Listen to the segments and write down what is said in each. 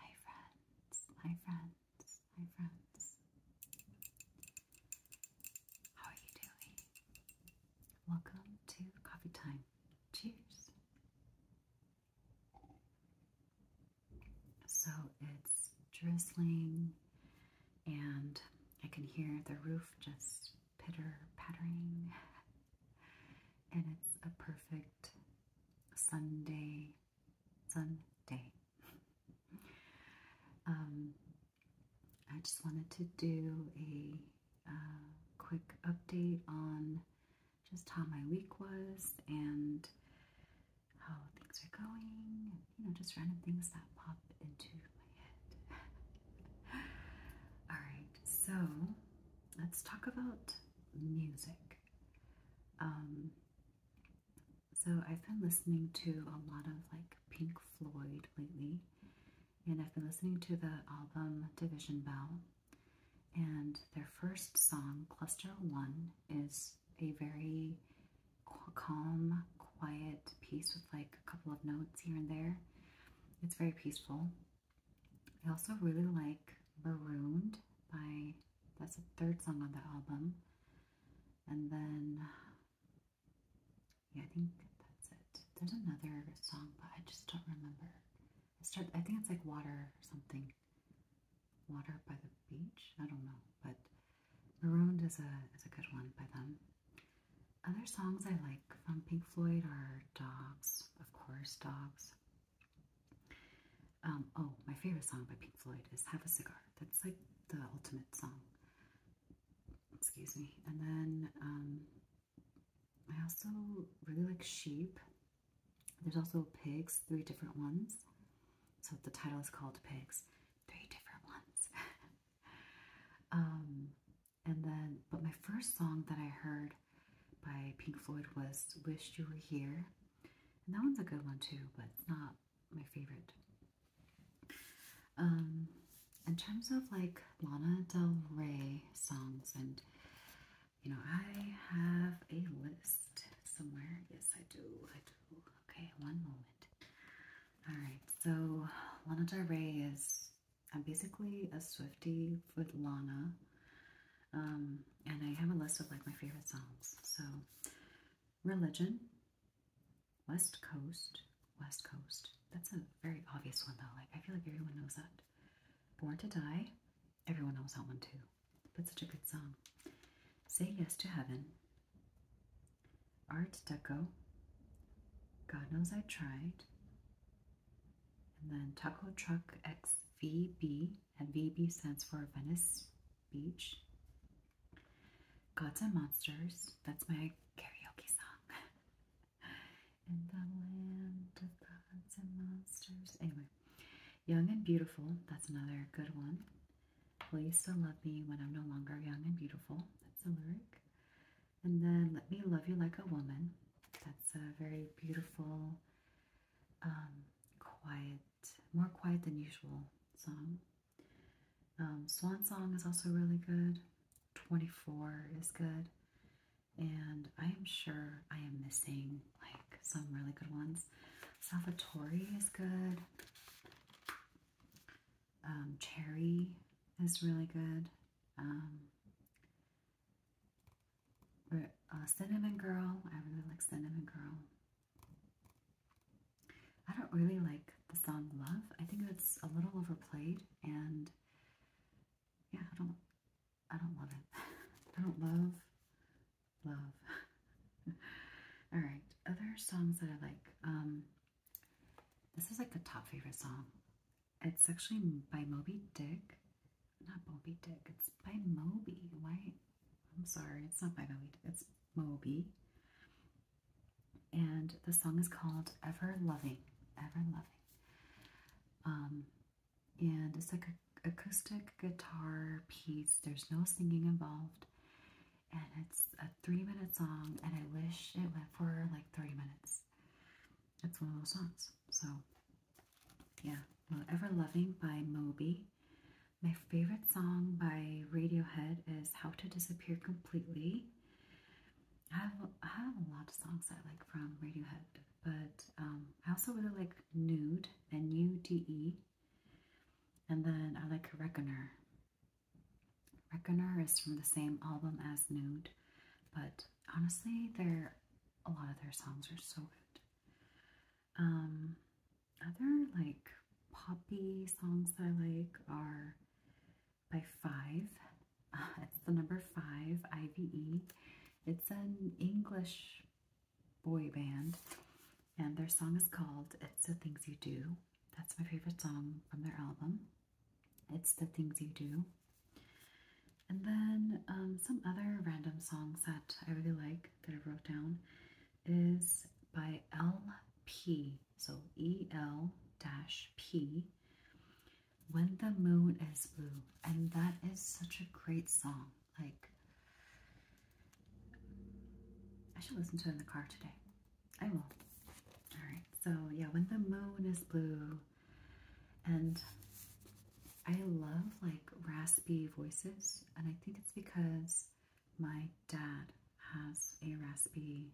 Hi friends, hi friends, hi friends. How are you doing? Welcome to coffee time. Cheers. So it's drizzling and I can hear the roof just pitter pattering and it's a perfect Sunday, Sunday. um, I just wanted to do a uh, quick update on just how my week was and how things are going, you know, just random things that pop into my head. All right, so let's talk about music. Um, so I've been listening to a lot of like Pink Floyd lately, and I've been listening to the album Division Bell, and their first song, Cluster One, is a very calm, quiet piece with like a couple of notes here and there. It's very peaceful. I also really like Marooned by, that's the third song on the album. And then, yeah, I think that's it. There's another song, but I just don't remember. I think it's like Water or something. Water by the Beach? I don't know, but Marooned is a, is a good one by them. Other songs I like from Pink Floyd are Dogs, of course, Dogs. Um, oh, my favorite song by Pink Floyd is Have a Cigar. That's like the ultimate song. Excuse me. And then um, I also really like sheep. There's also pigs, three different ones. So the title is called Pigs, Three Different Ones. um, and then, but my first song that I heard by Pink Floyd was "Wished You Were Here. And that one's a good one too, but not my favorite. Um, in terms of like Lana Del Rey songs, and you know, I have a list somewhere. Yes, I do. I do. Okay, one moment. All right, so Lana Del Rey is I'm basically a Swifty with Lana. Um, and I have a list of like my favorite songs. So, Religion, West Coast, West Coast. That's a very obvious one though. Like I feel like everyone knows that. Born to Die, everyone knows that one too. But such a good song. Say Yes to Heaven, Art Deco, God Knows I Tried, and then Taco Truck XVB, and VB stands for Venice Beach. Gods and Monsters, that's my karaoke song. In the land of gods and monsters. Anyway, Young and Beautiful, that's another good one. Will you still love me when I'm no longer young and beautiful? That's the lyric. And then Let Me Love You Like a Woman. That's a very beautiful um, quiet, more quiet than usual song. Um, Swan Song is also really good. 24 is good. And I am sure I am missing like some really good ones. Salvatore is good. Um, Cherry is really good. Um, uh, Cinnamon Girl, I really like Cinnamon Girl. I don't really like the song Love. I think it's a little overplayed and yeah, I don't I don't love it. I don't love love. Alright, other songs that I like. Um this is like the top favorite song. It's actually by Moby Dick. Not Moby Dick. It's by Moby. Why? I'm sorry. It's not by Moby It's Moby. And the song is called Ever Loving. Ever Loving. Um, and it's like an acoustic guitar piece. There's no singing involved. And it's a three minute song. And I wish it went for like 30 minutes. It's one of those songs. So yeah, well, Ever Loving by Moby. My favorite song by Radiohead is How to Disappear Completely. I have, a lot of songs I like from Radiohead, but um, I also really like Nude, and N-U-D-E, and then I like Reckoner. Reckoner is from the same album as Nude, but honestly, their a lot of their songs are so good. Um, other like poppy songs I like are by Five. it's the number Five, IVE. It's an English boy band, and their song is called "It's the Things You Do." That's my favorite song from their album. It's the things you do. And then um, some other random songs that I really like that I wrote down is by LP, so E L dash P. When the Moon is Blue, and that is such a great song. Like, I should listen to it in the car today. I will. Alright, so yeah, When the Moon is Blue and I love like raspy voices, and I think it's because my dad has a raspy,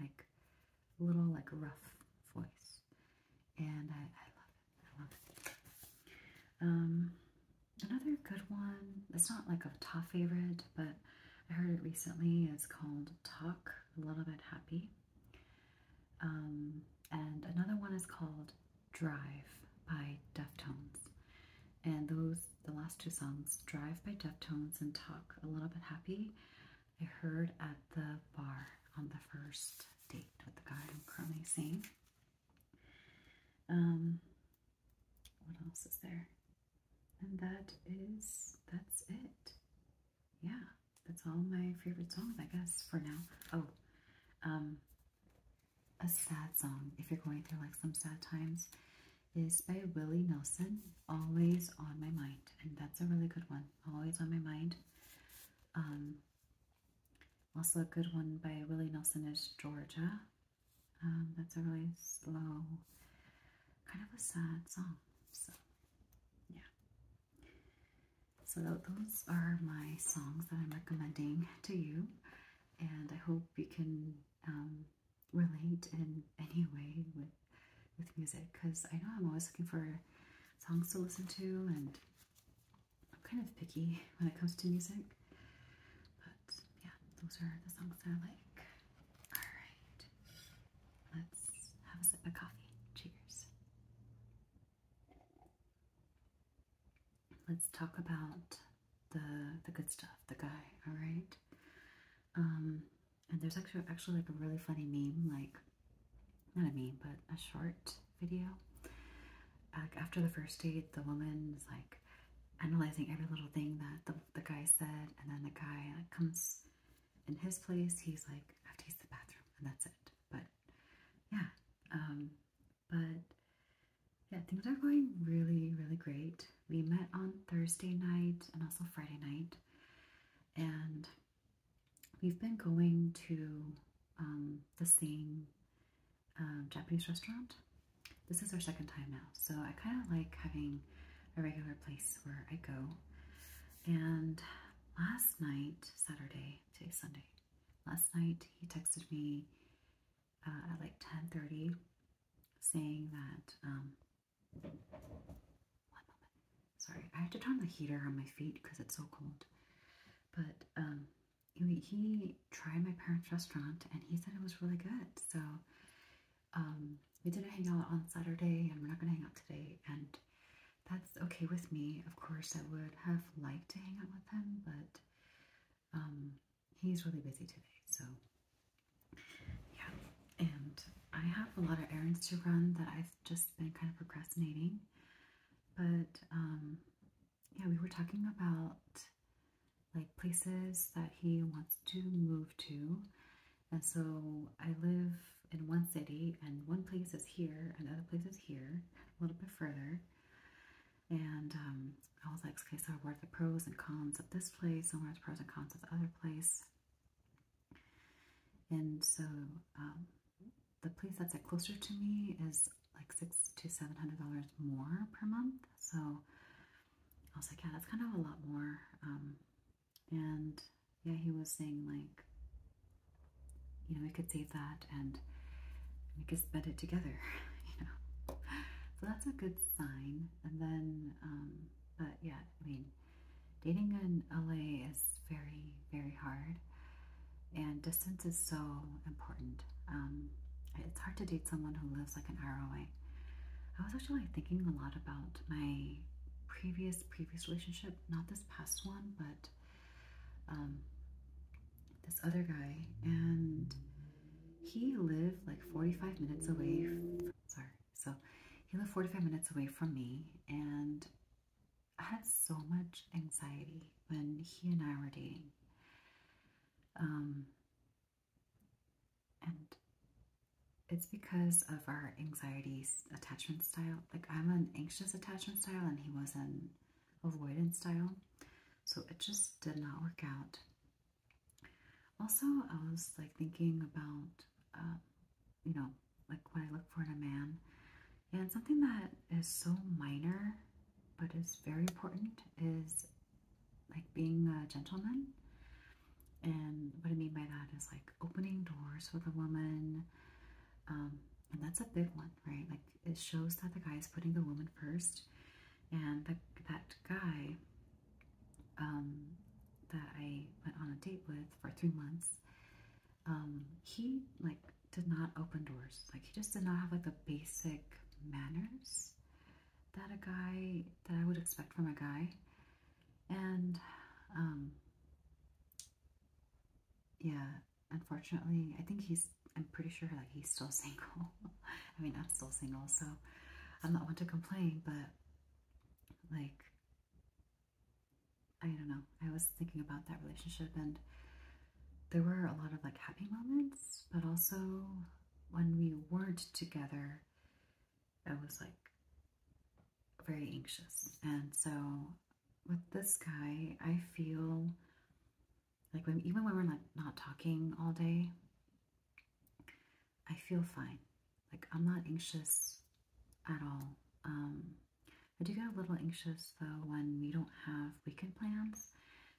like little like rough voice, and I, love it. I love it. Um, another good one. It's not like a top favorite, but I heard it recently. It's called "Talk a Little Bit Happy," Um, and another one is called Drive by Deftones. And those, the last two songs, Drive by Deftones and Talk a Little Bit Happy, I heard at the bar on the first date with the guy I'm currently seeing. Um, what else is there? And that is, that's it yeah, that's all my favorite songs, I guess, for now. Oh, um, a sad song, if you're going through like some sad times, is by Willie Nelson, Always on My Mind. And that's a really good one, Always on My Mind. Um, also, a good one by Willie Nelson is Georgia. Um, that's a really slow, kind of a sad song. So, yeah. So those are my songs that I'm recommending to you, and I hope you can um, relate in any way with with music. Because I know I'm always looking for songs to listen to, and I'm kind of picky when it comes to music. But yeah, those are the songs that I like. All right, let's have a sip of coffee. Cheers. Let's talk about the the good stuff, the guy. All right. Um, and there's actually actually like a really funny meme, like not a meme, but a short video. after the first date, the woman is like analyzing every little thing that the the guy said, and then the guy comes in his place, he's like, I have to use the bathroom, and that's it. But yeah, um, but yeah, things are going really, really great. We met on Thursday night and also Friday night, and we've been going to um, the same um, Japanese restaurant. This is our second time now, so I kind of like having a regular place where I go. And last night, Saturday, today's Sunday, last night he texted me uh, at like 10.30 saying that, um, sorry, I have to turn the heater on my feet because it's so cold. But um, he, he tried my parents' restaurant and he said it was really good. So um, we didn't hang out on Saturday and we're not going to hang out today. And that's okay with me. Of course, I would have liked to hang out with him, but um, he's really busy today. So, yeah. And I have a lot of errands to run that I've just been kind of procrastinating. But, um, yeah, we were talking about like places that he wants to move to and so I live in one city, and one place is here, and other place is here, a little bit further. And um, I was like, okay, so what are the pros and cons of this place, and what the pros and cons of the other place? And so um, the place that's like closer to me is like six to seven hundred dollars more per month. So I was like, yeah, that's kind of a lot more. Um, and yeah, he was saying like, you know, we could save that and we could spend it together, you know. So that's a good sign. And then, um, but yeah, I mean, dating in LA is very, very hard. And distance is so important. Um, it's hard to date someone who lives like an hour away. I was actually thinking a lot about my previous, previous relationship, not this past one, but um, this other guy, and he lived like 45 minutes away. sorry, so he lived 45 minutes away from me, and I had so much anxiety when he and I were dating. Um, and it's because of our anxiety attachment style. Like I'm an anxious attachment style and he was an avoidance style. So it just did not work out. Also, I was like thinking about, um, you know, like what I look for in a man. And something that is so minor but is very important is like being a gentleman. And what I mean by that is like opening doors for the woman. Um, and that's a big one, right? Like it shows that the guy is putting the woman first. And the, that guy um, that I went on a date with for three months, um, he like did not open doors. Like he just did not have like the basic manners that a guy that I would expect from a guy. And yeah, unfortunately, I think he's, I'm pretty sure like he's still single. I mean, I'm still single, so I'm not one to complain, but like, I don't know. I was thinking about that relationship and there were a lot of like happy moments, but also when we weren't together, I was like very anxious. And so with this guy, I feel like when, even when we're like not talking all day, I feel fine. Like I'm not anxious at all. Um, I do get a little anxious though when we don't have weekend plans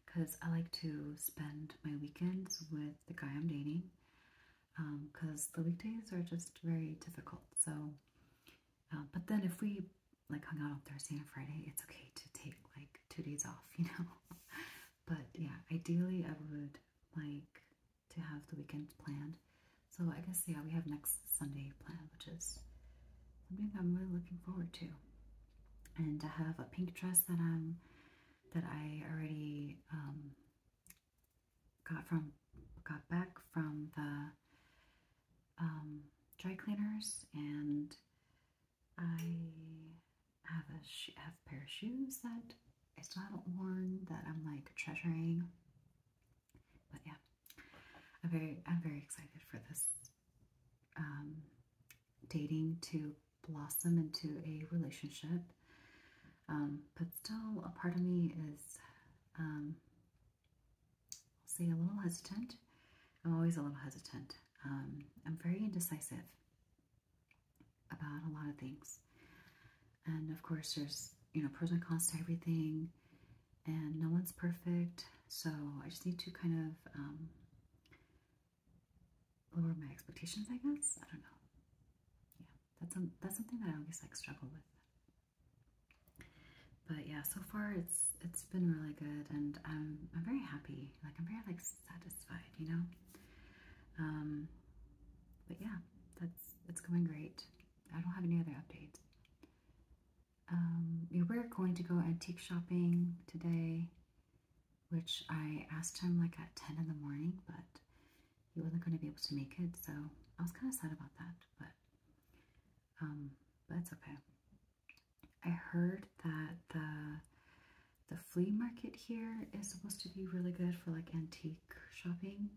because I like to spend my weekends with the guy I'm dating because um, the weekdays are just very difficult. So, uh, but then if we like hang out on Thursday and Friday, it's okay to take like two days off, you know. but yeah, ideally I would like to have the weekend planned. So I guess yeah, we have next Sunday planned, which is something I'm really looking forward to. And I have a pink dress that I'm that I already um, got from got back from the um, dry cleaners, and I have a have pair of shoes that I still haven't worn that I'm like treasuring. But yeah, I'm very I'm very excited for this um, dating to blossom into a relationship. Um, but still, a part of me is, um, say, a little hesitant. I'm always a little hesitant. Um, I'm very indecisive about a lot of things. And of course, there's, you know, pros and cons to everything, and no one's perfect. So I just need to kind of lower my expectations, I guess. I don't know. Yeah. That's um, that's something that I always like struggle with. But yeah, so far it's it's been really good, and I'm I'm very happy. Like I'm very like satisfied, you know. Um, but yeah, that's that's going great. I don't have any other updates. Um, we were going to go antique shopping today, which I asked him like at ten in the morning, but he wasn't going to be able to make it, so I was kind of sad about that, but um, but okay. I heard that the the flea market here is supposed to be really good for like antique shopping.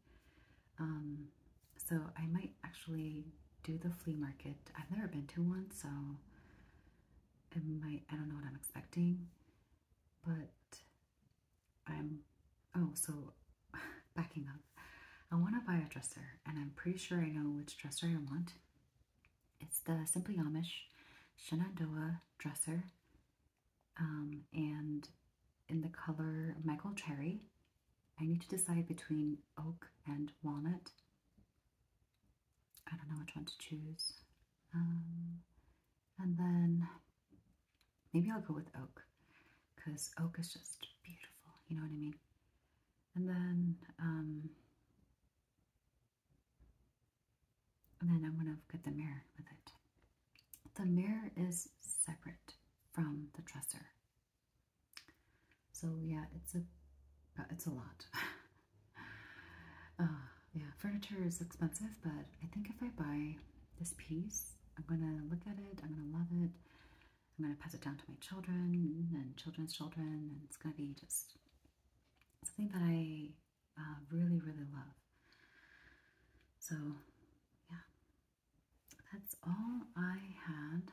Um, so I might actually do the flea market. I've never been to one, so it might, I don't know what I'm expecting, but I'm oh so backing up. I want to buy a dresser, and I'm pretty sure I know which dresser I want. It's the Simply Amish Shenandoah dresser, um, and in the color Michael Cherry. I need to decide between oak and walnut. I don't know which one to choose. Um, and then Maybe I'll go with oak because oak is just beautiful, you know what I mean? And then, um, and then I'm going to get the mirror with it. The mirror is separate from the dresser. So yeah, it's a, it's a lot. Uh, yeah, furniture is expensive, but I think if I buy this piece, I'm going to look at it. I'm going to love it. I'm going to pass it down to my children and children's children. And it's going to be just something that I uh, really, really love. So, yeah, that's all I had.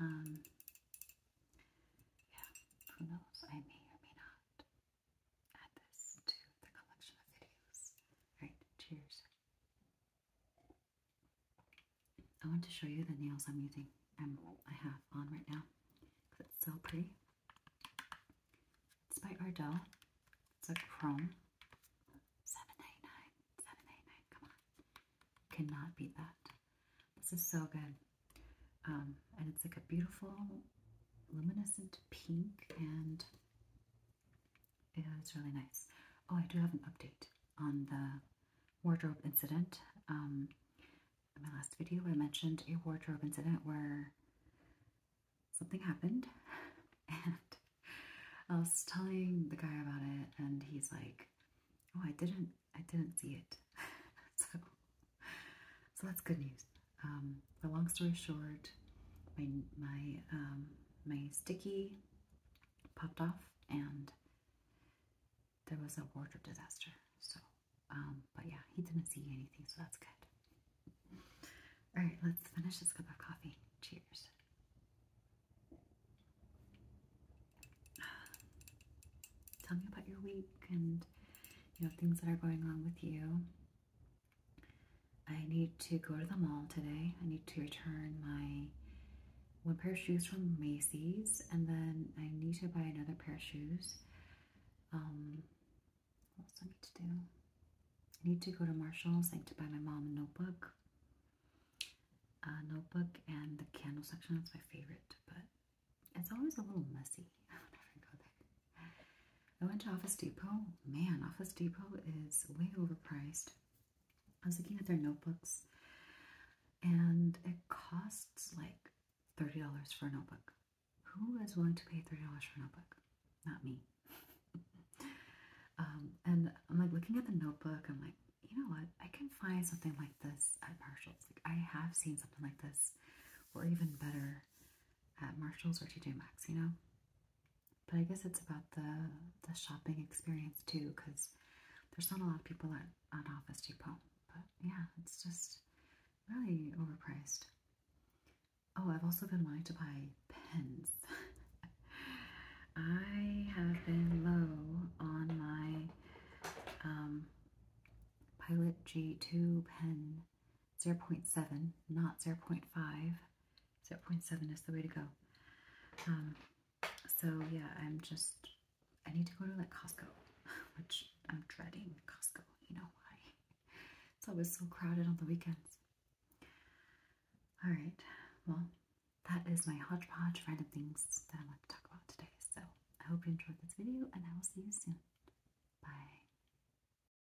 Um, yeah, who knows? I may or may not add this to the collection of videos. All right, cheers. I want to show you the nails I'm using. Um, I have on right now because it's so pretty. It's by Ardell. It's a chrome. 789, 789, come on. Cannot beat that. This is so good. Um, and it's like a beautiful luminescent pink and yeah, it's really nice. Oh, I do have an update on the wardrobe incident. Um, in my last video, I mentioned a wardrobe incident where something happened, and I was telling the guy about it, and he's like, "Oh, I didn't, I didn't see it." so, so that's good news um, long story short, my my um, my sticky popped off, and there was a wardrobe disaster. So, um, but yeah, he didn't see anything, so that's good. All right, let's finish this cup of coffee. Cheers. Tell me about your week and you know things that are going on with you. I need to go to the mall today. I need to return my one pair of shoes from Macy's, and then I need to buy another pair of shoes. Um, what I need to do? need to go to Marshall's. I need to buy my mom a notebook. notebook and the candle section. That's my favorite, but it's always a little messy. I went to Office Depot. Man, Office Depot is way overpriced. I was looking at their notebooks, and it costs like $30 for a notebook. Who is willing to pay $30 for a notebook? Not me. Um, and I'm like looking at the notebook, I'm like, you know what? I can find something like this at Marshall's. Like, I have seen something like this, or even better at Marshall's or TJ Maxx, you know? But I guess it's about the the shopping experience too, because there's not a lot of people at on Office Depot. But yeah, it's just really overpriced. Oh, I've also been wanting to buy pens. I have been low on my um, Pilot G2 pen 0.7, not 0.5. 0.7 is the way to go. Um, so yeah, I'm just, I need to go to like Costco, which I'm dreading Costco. You know why? It's always so crowded on the weekends. All right, well, that is my hodgepodge random things that I want to talk about today. So I hope you enjoyed this video and I will see you soon. Bye.